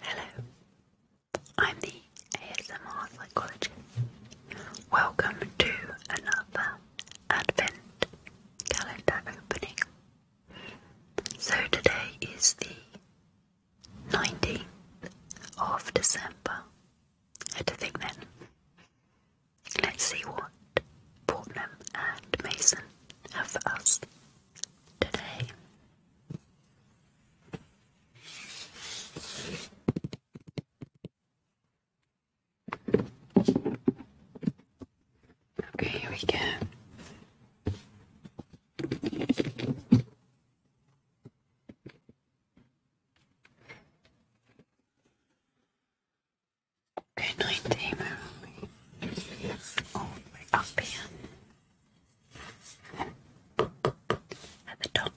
Hello, I'm the ASMR psychologist. Welcome to another Advent calendar opening. So today is the 19th of December. I had think then. Let's see what Portman and Mason have for us today. Okay, here we go. Good night, Tamer. Oh, we're up here. At the top.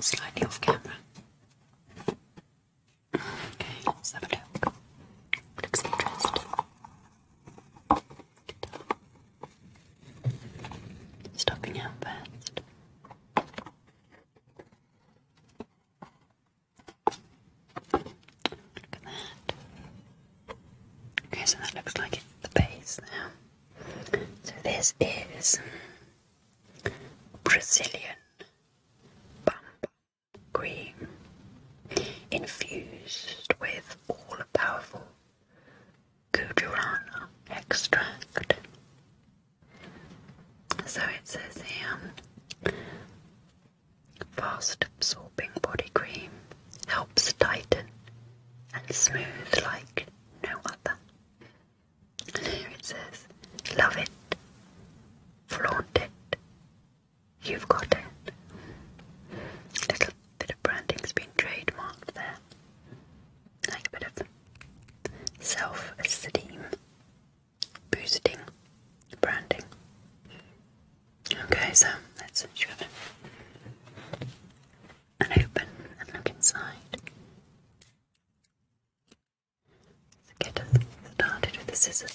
Slightly off camera. Okay, let's Looks interesting. Stopping out first. Look at that. Okay, so that looks like it, the base now. So this is Brazilian bamba cream infused with all powerful guarana extract. So it says here fast absorbing body cream helps tighten and smooth like no other. And here it says, love it, flaunt it, you've got it. A little bit of branding's been trademarked there like a bit of self-esteem boosting branding. Okay, so let's shove it and open and look inside. So get started with the scissors.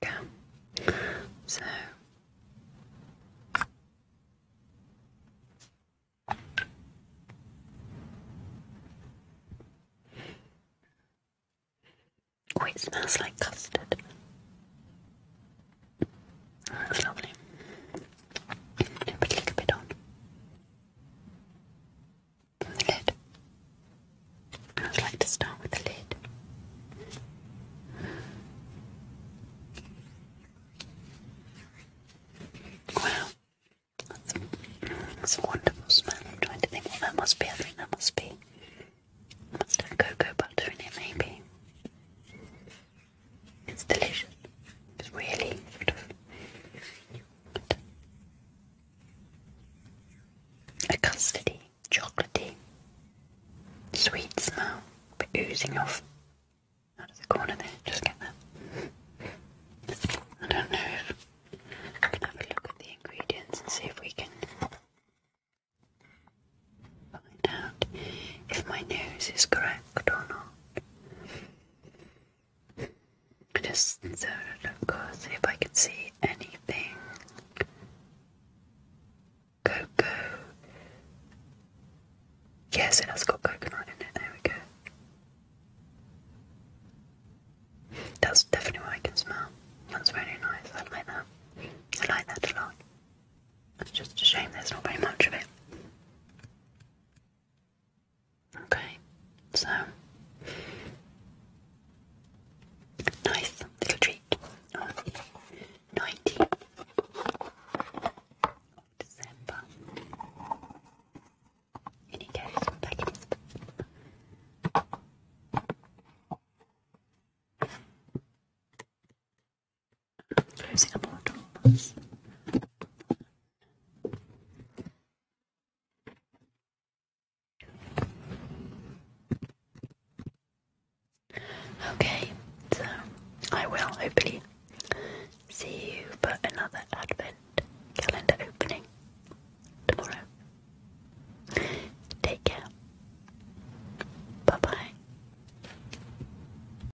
Okay, so oh, it smells like custard. Oh, that's lovely. Put a little bit on the lid. I would like to start with the lid. Wow, that's a, wonderful smell. am trying to think what that must be. I think that must be. Must have cocoa butter in it, maybe. It's delicious. It's really a custardy, chocolaty, sweet smell, but oozing off out of the corner there. Just get that. I don't know have a look at the ingredients and see if we can find out if my nose is correct or not. Just so go see if I can see anything. Coco. Yes, it has got coconut in it. There we go. That's definitely what I can smell. That's really nice. I like that. I like that a lot. It's just a shame there's not very much of it. Okay, so nice little treat on the 19th December. In he Using a portable Okay, so I will hopefully see you for another advent calendar opening tomorrow. Take care. Bye bye.